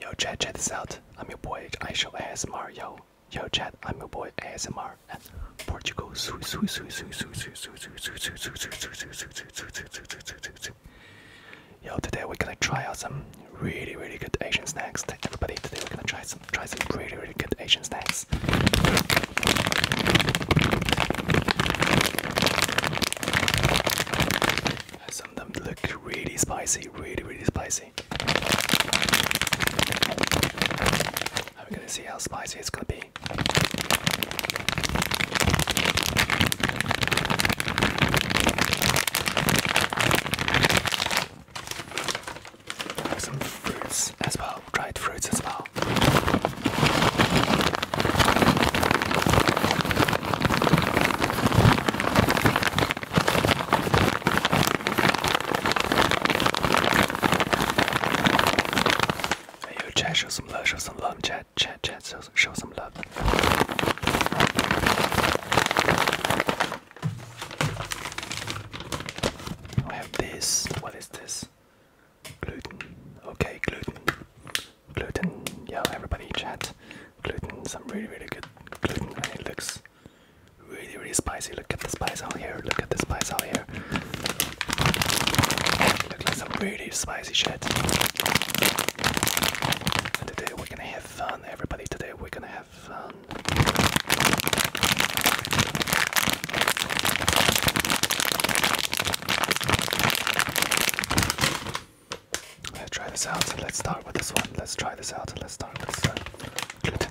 Yo chat, check this out. I'm your boy Aisho ASMR. Yo, yo chat, I'm your boy ASMR and Portugal. Yo, today we're gonna try out some really really good Asian snacks. Everybody, today we're gonna try some try some really really good Asian snacks. Some of them look really spicy, really, really spicy. we're gonna see how spicy it's gonna be. Some fruits as well, dried fruits as well. Hey, yo, chat, show some love, show some love, chat, chat, chat, show some love. I have this. What is this? Gluten. Okay, gluten. Gluten. Yeah, everybody, chat gluten, some really really good gluten, and it looks really really spicy. Look at the spice out here. Look at the spice out here. It looks like some really spicy shit. And today we're gonna have fun, everybody. Today we're gonna have fun. Let's try this out. and Let's start with this one. Let's try this out. and Let's start with this uh, gluten.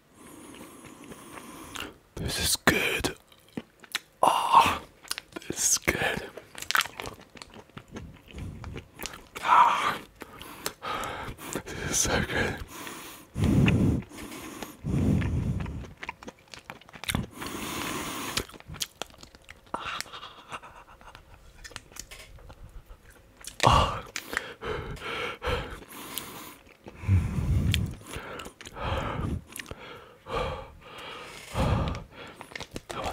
This is good. Ah, this is good. Ah, this is so good. Ah. Oh, I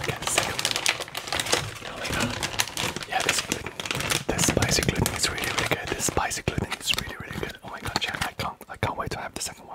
can't see oh Yeah, this gluten, this spicy gluten is really, really good. This spicy gluten is really, really good. Oh my god, Jack, I can't, I can't wait to have the second one.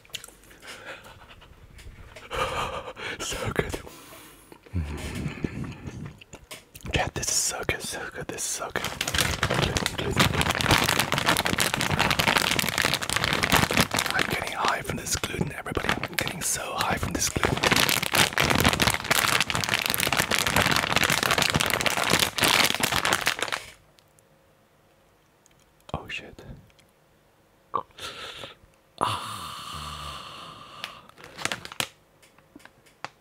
so good. Mm this is so good, this is so good. I'm getting high from this gluten, everybody. I'm getting so high from this gluten. Oh shit. Ah.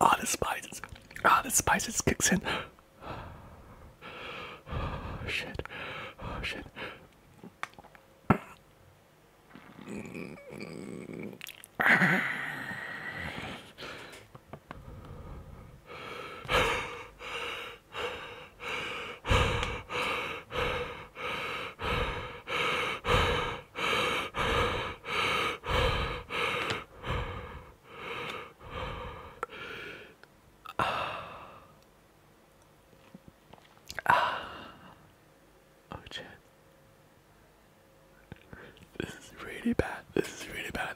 ah. the spices. Ah, the spices kicks in. Oh, shit. Oh, shit. This is really bad. This is really bad.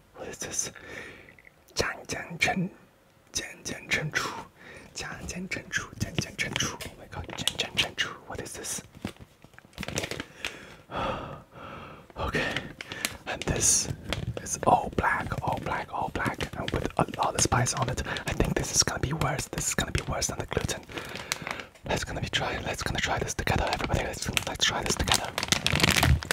what is this? Jiang Jiang Chen, Jiang Jiang Chen Chu, Jiang Jiang Chen Chu, Jiang Jiang Chen Chu. What is this? okay, and this is all black, all black, all black, and with a lot of spice on it. I think this is gonna be worse. This is gonna be worse than the gluten. Let's gonna be try. Let's gonna try this together, everybody. Let's let's try this together. Oh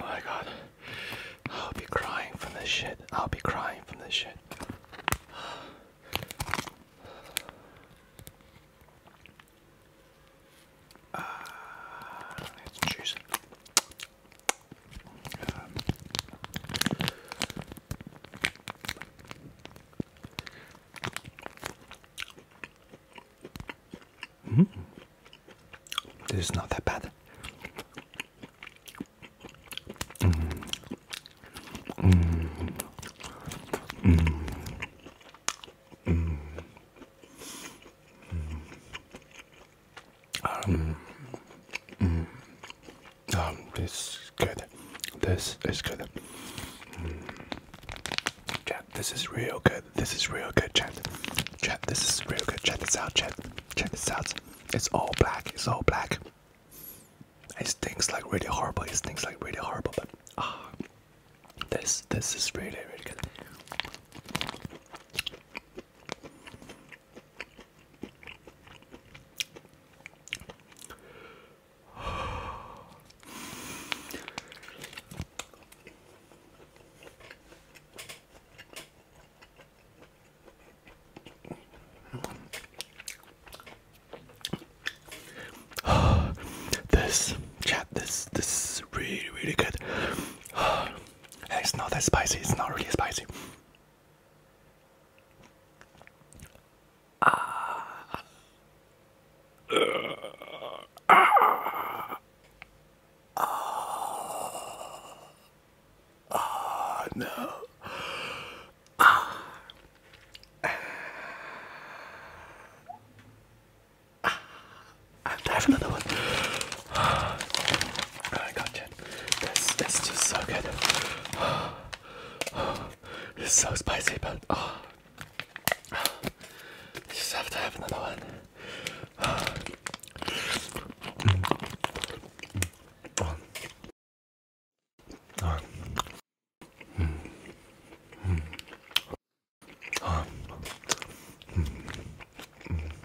my god. I'll be crying from this shit. I'll be crying from this shit. let's ah, choose. Hmm. This is not that bad. Hmm. Hmm. Hmm. Hmm. Um, mm, um, this is good. This is good. Mm. this is real good. This is real good, Check. Chat, this is real good. Check this out, chat. Check this out. It's all black. It's all black. It stinks like really horrible. It stinks like really horrible, but ah, this this is really really good. this chat this this is really really good It's not that spicy. It's not really spicy. Ah. Ah. Ah. Ah, no. Ah. I have another one. Oh my god, Jen. This is just so good. Oh, oh, it's so spicy, but I just have to have another one.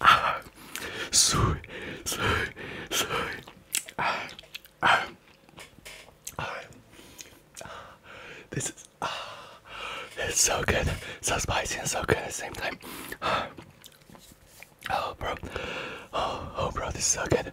ah, sui, sui, sui, ah, ah, ah, This is ah, it's so good, so spicy and so good at the same time. Oh, bro, oh, oh, bro, this is so good.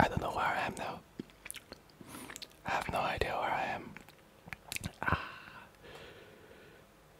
I don't know where I am now. I have no idea where I am. Ah.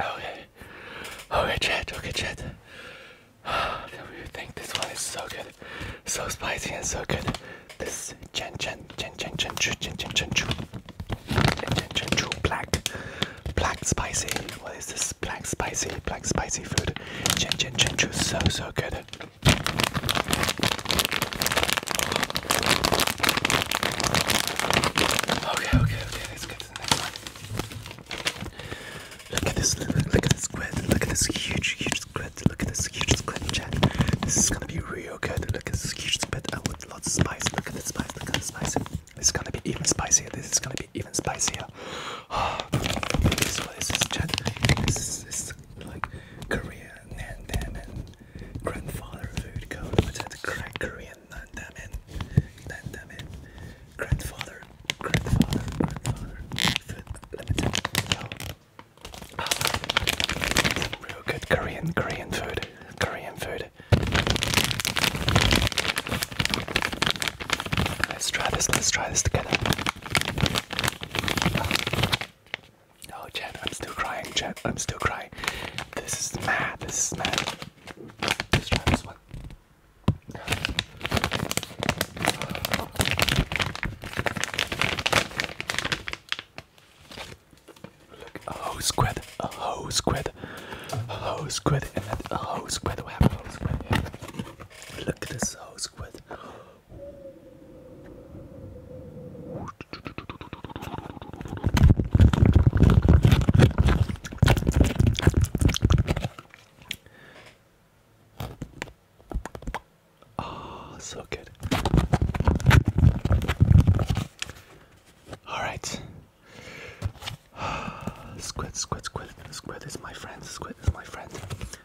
okay. Okay, chat. Okay, chat. What do you think? This one is so good. So spicy and so good. This Chen Chen Chen Chen Chen Chu Chen Chen Chen Chu Chen Chen Chu Black Black Spicy. What is this? Black Spicy Black Spicy food. Chen Chen Chen Chu. So so good. Okay, okay, okay, let's get to next one. Look at this, look at this squid, look at this huge, huge squid, look at this huge squid, Jack. This is gonna be real good, look at this huge squid and with lots of spice, look at the spice, look at the spice. This is gonna be even spicier, this is gonna be even spicier. this, what is this, Jack? This is, like Korean and, grandfather food, go with it, Korean in, let them in, Grandfather, grandfather, grandfather. Food limited. Oh. Oh. Real good Korean, Korean food, Korean food. Let's try this, let's try this together. Oh, Chad, I'm still crying, Chad, I'm still crying. This is mad, this is mad. Let's try this one. Look, a whole squid, a whole squid, a whole squid, and then a whole squid. We have Look at this whole squid. Oh, so good. All right. Squid, squid, squid, squid is my friend. Squid is my friend.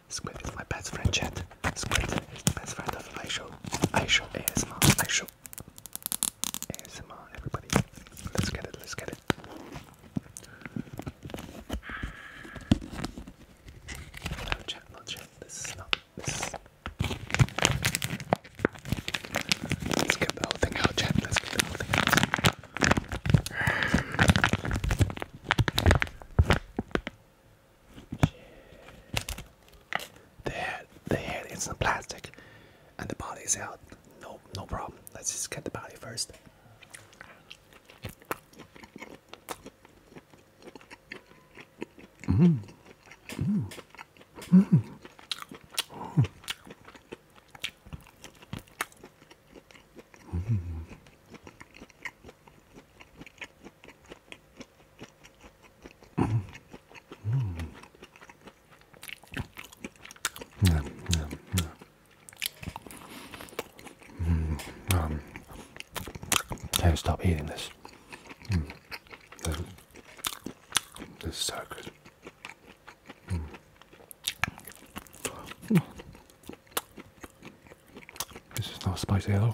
Squid is my best friend. Chat. Squid is the best friend of I show. I show ASMR. I show ASMR, everybody. Let's get it, let's get it. No chat, not chat. This is not this. Let's get the whole thing out, chat. Let's get the whole thing out. Shit. The head, the head, it's plastic and the body is out. No, no problem. Let's just get the body first. Mm. Mm. Mm. Yeah, can't mm. mm. um, stop eating mm. this. this, is so good. This is not spicy at all.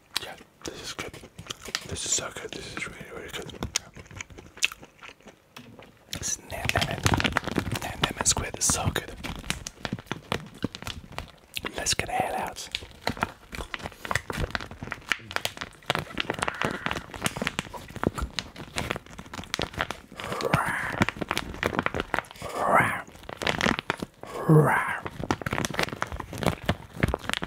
Yeah, this is good. This is so good. This is really, really good. This Nan Lemon. Nan Lemon Squid is so good. Let's get a head out.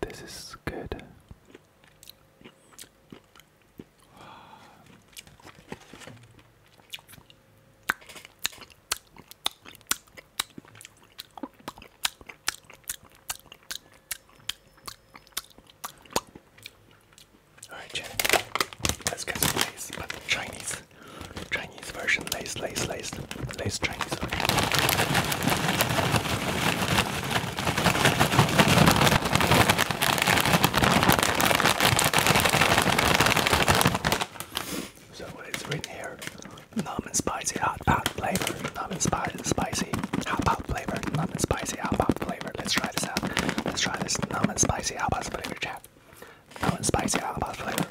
This is good. Alright, let's get some Chinese this version, lace, lace, lace, lace Chinese So what is written here? Numb and spicy hot pot flavor. Numb and spicy hot pot flavor. Numb and spicy hot pot flavor. Let's try this out. Let's try this numb and spicy hot pot flavor chat. Numb and spicy hot pot flavor.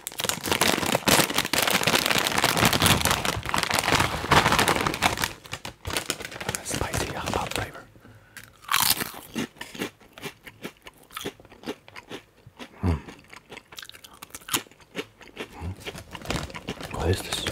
A spicy hot pot flavor. Mm. Mm. What is this? Mm.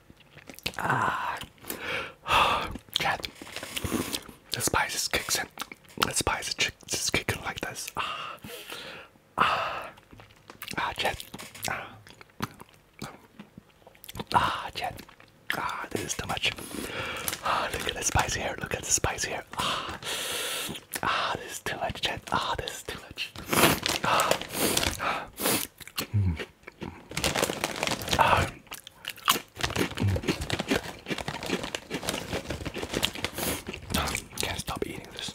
Ah, Chad, the spices kicks in. The spices is kicking like this. Ah, ah, ah, Chad. Ah, ah Chad. Ah, this is too much. Ah, look at the spice here. Look at the spice here. Ah, ah, this is too much, Chad. Ah, this is too much. Ah. Ah. Mm. Can't stop eating this.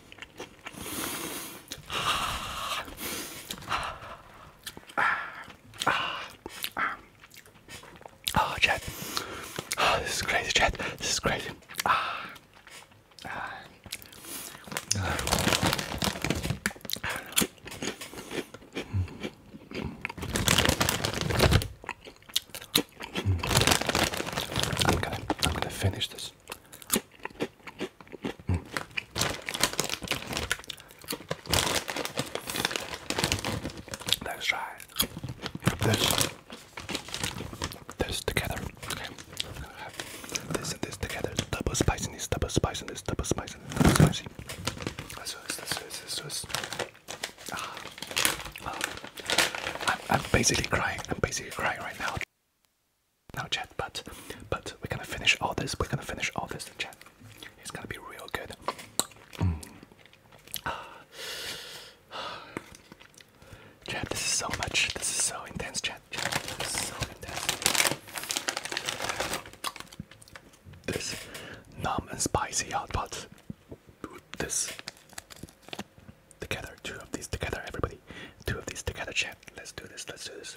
Oh, chat. Oh, this is crazy, chat. This is crazy. Ah. I'm gonna, I'm gonna finish this. Let's try this, this together. Okay. This and this together. Double spicy, this double spicy, this double spicy, spicy. Let's do this, let ah. I'm, I'm basically crying. I'm basically crying right now now, chat. But but we're gonna finish all this. We're gonna finish all this, chat. It's gonna be real good. Mm. this is so much. This is so intense, chat. Chat, this is so intense. This numb and spicy hot pot. This together, two of these together, everybody. Two of these together, chat. Let's do this. Let's do this.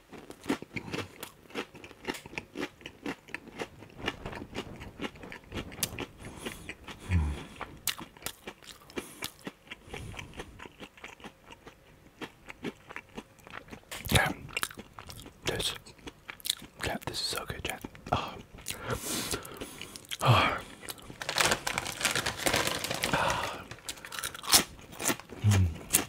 Yeah. This. Yeah, this is so good, Jack. Oh.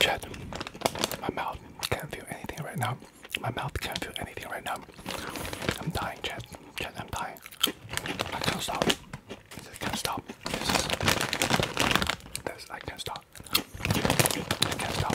Chat, my mouth can't feel anything right now. My mouth can't feel anything right now. I'm dying, Chad. Chad, I'm dying. Alright. I can't stop. I can't stop. This is this I can't stop. I can't stop.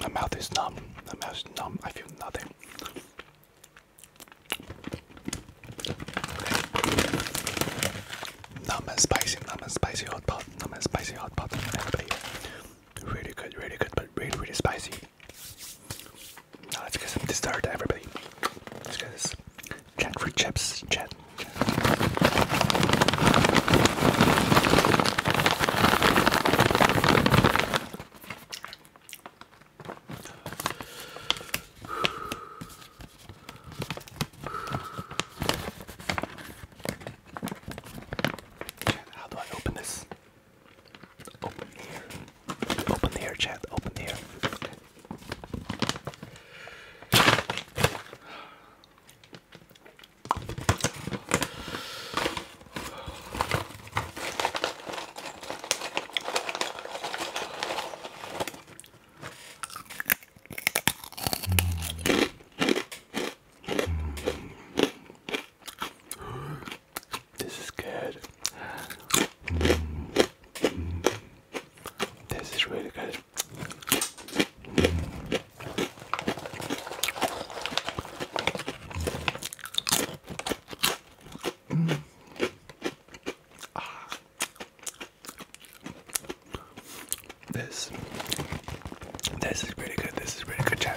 my mouth is numb. My mouth is numb. I feel nothing. Numb and spicy, numb and spicy hot pot, numb and spicy hot pot. Everybody, really good, really good, but really, really spicy. Now let's get some dessert, everybody. Let's get this jackfruit chips, chat. How do I open this? Open the air. Open the air, chat. Open the air. Okay. This is good. This is really good. This, this is pretty good. This is pretty good chat.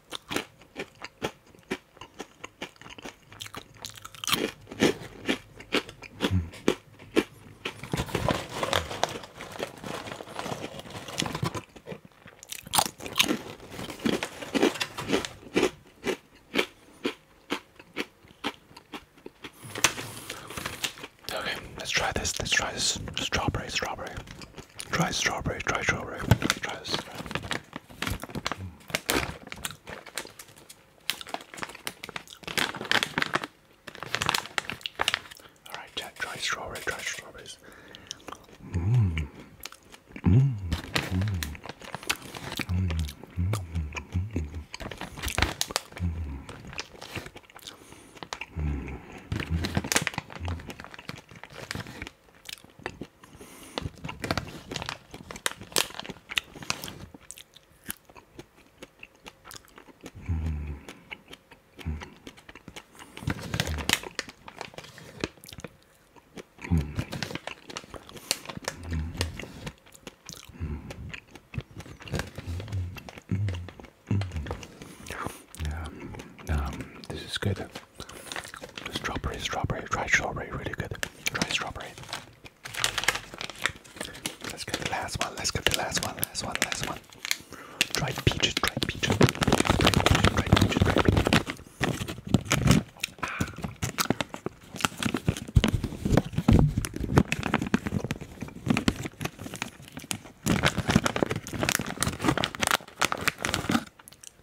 Okay, let's try this. Let's try this strawberry, strawberry. Try strawberry, try strawberry. Try this. All right, Jack, strawberry, try strawberries. Mm. Mm. Mm. Mm. Mm. Mm. Mm. Mm. Mm. Mm. this is good. Strawberry, strawberry, try strawberry, really good. Try strawberry. Let's get the last one, let's get the last one, last one, last one. Dried peaches, dried peaches, dried peaches, try peaches. Ah.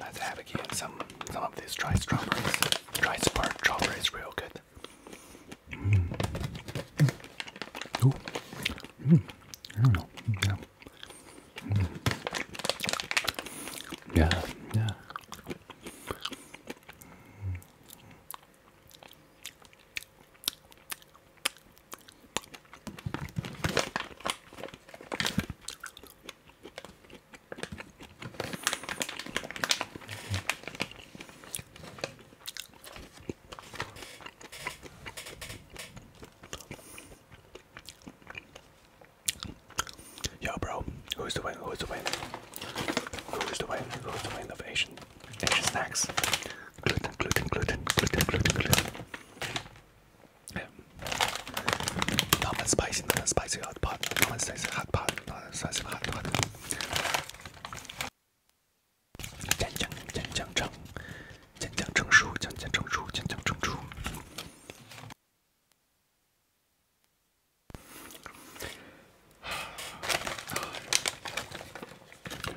Let's have again some some of these dry strawberries. Dry spark strawberries real good. Mm. Oh. Mm. I don't know. Yeah. Mm. Yeah, yeah. Yo, bro, who's the winner? Who's the winner? Who's the way? Who's the way of Asian, Asian snacks? Gluten, gluten, gluten, gluten, gluten, gluten. Yeah. Not spicy, not that spicy hot pot. Not that spicy hot pot. Not that spicy hot pot.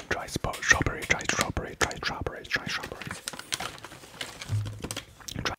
Try strawberry, try strawberry, try strawberry, try strawberry. Try